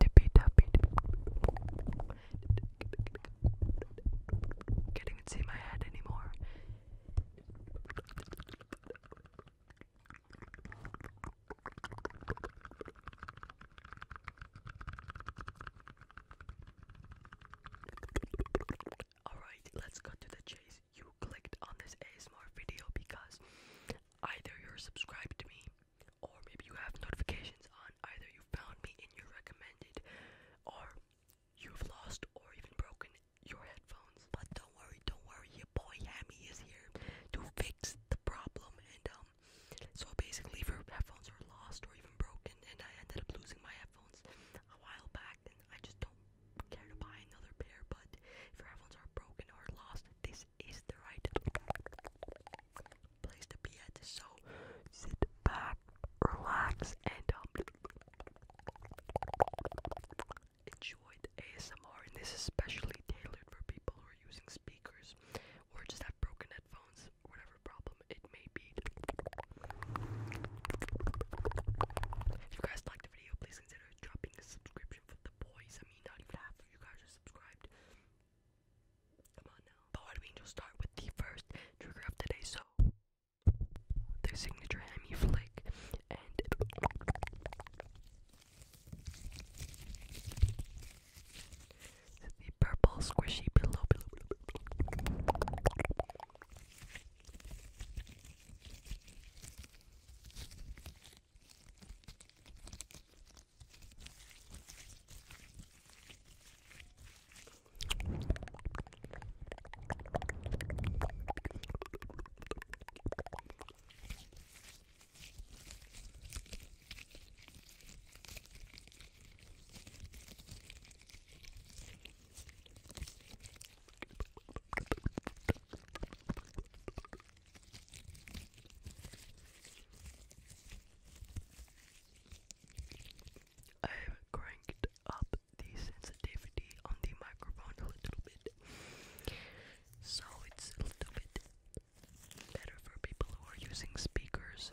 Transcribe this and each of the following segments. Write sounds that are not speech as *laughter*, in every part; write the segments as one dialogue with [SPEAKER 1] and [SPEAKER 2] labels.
[SPEAKER 1] Tippy tappy. Can't even see my head anymore. Alright, let's cut to the chase. You clicked on this ASMR video because either you're subscribed to me or maybe you have notifications on. Either you found me in your recommended or you've lost or even broken your headphones. But don't worry, don't worry, your boy Hammy is here to fix the problem and um so basically, her headphones are lost or even broken, and I ended up losing my headphones a while back. And I just don't care to buy another pair. But if your headphones are broken or lost, this is the right place to be at. So sit back, relax, and um, enjoy the ASMR. And this is especially tailored for people who are using speakers or just have broken headphones fix whatever problem it may be. If you guys liked the video, please consider dropping a subscription for the boys. I mean, not even half of you guys are subscribed. Come on now. But what we need start with the first trigger of today, so their signature hemi flick the purple squishy pillow pillow. I have cranked up the sensitivity on the microphone a little bit, so it's a little bit better for people who are using speakers.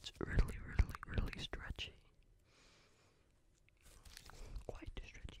[SPEAKER 1] It's really, really, really stretchy. Quite stretchy.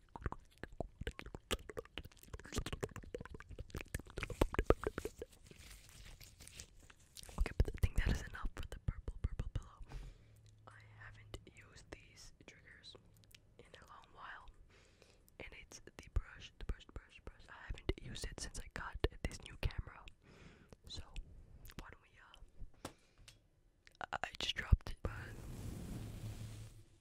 [SPEAKER 1] Okay, but I that is enough for the purple, purple pillow. I haven't used these triggers in a long while, and it's the brush, the brush, brush, brush. I haven't used it since I got this new camera. So, why don't we, uh, I just dropped it, but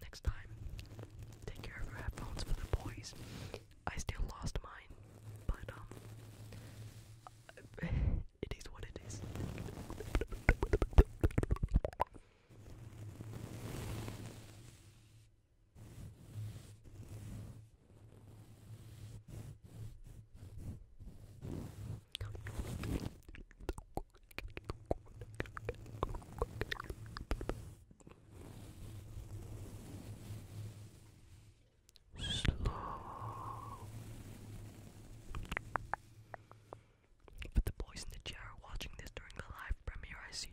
[SPEAKER 1] Next time, take care of your headphones for the boys. I still lost mine, but um, *laughs* it is what it is. Slow. But the boys in the chair are watching this during the live premiere. I see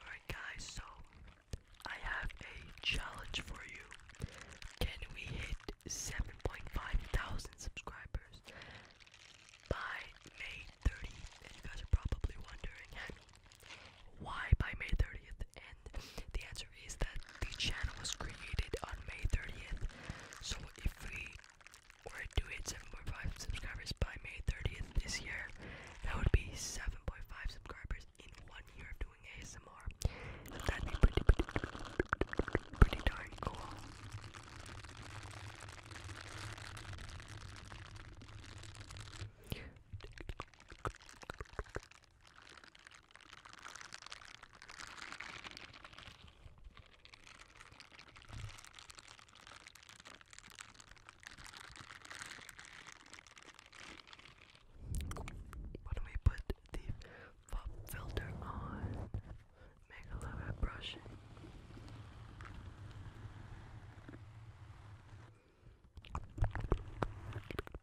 [SPEAKER 1] Alright, guys, so I have a challenge for you. Can we hit 7.5 thousand subscribers by May 30th? you guys are probably wondering, why by May 30th? And the answer here is that the channel was created on May 30th. So if we were to hit 7.5 subscribers by May 30th this year, that would be 7.5 subscribers in one year of doing ASMR. That'd be pretty, pretty darn cool. Why don't we put the pop filter on? Make a little bit of brushing.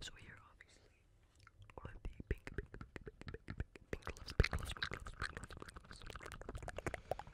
[SPEAKER 1] So here, obviously, all of the pink, pink, pink, pink, pink, pink gloves, pink gloves, pink gloves, pink gloves, pink gloves. Pink gloves.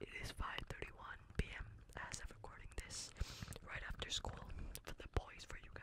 [SPEAKER 1] It is 5:31 p.m. as of recording this right after school for the boys, for you guys.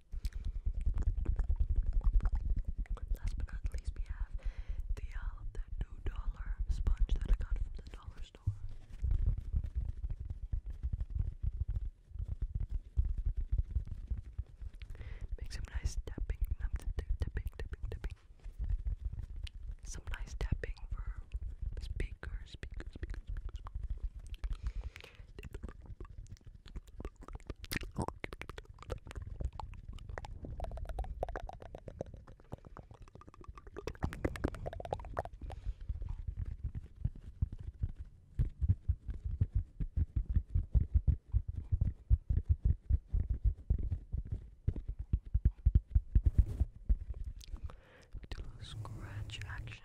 [SPEAKER 1] Last but not least, we have the uh, the sponge that I got from the dollar store. Make some nice tapping, um, Some nice tapping for speakers, speakers. speakers. Do a scratch action.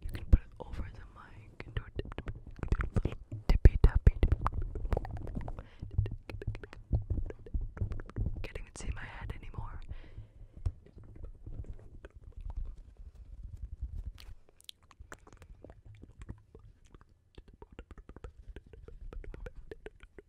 [SPEAKER 1] You can put it over the mic and do a dip, dip, dip, little tippy tappy. Can't even see my head anymore. But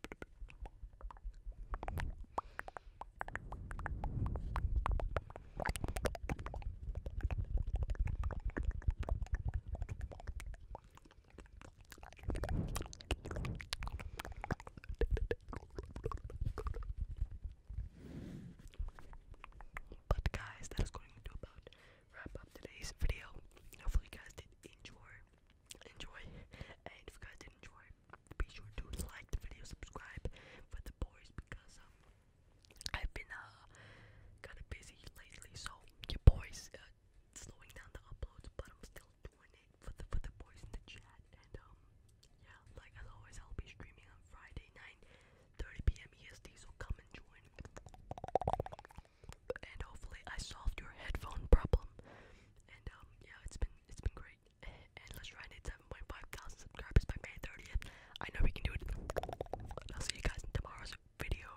[SPEAKER 1] guys, that is going to about wrap up today's video. Hopefully you guys did enjoy enjoy. And if you guys did enjoy, be sure to like the video, subscribe for the boys because um, I've been uh kind of busy lately, so your boys uh, slowing down the uploads, but I'm still doing it for the for the boys in the chat. And um yeah, like as always, I'll be streaming on Friday night, 30 p.m. EST. So come and join. And hopefully, I solved your headphone problem. And um, yeah, it's been it's been great. *laughs* And let's try and hit 7.5 thousand subscribers by May 30th. I know we can do it. I'll see you guys in tomorrow's video.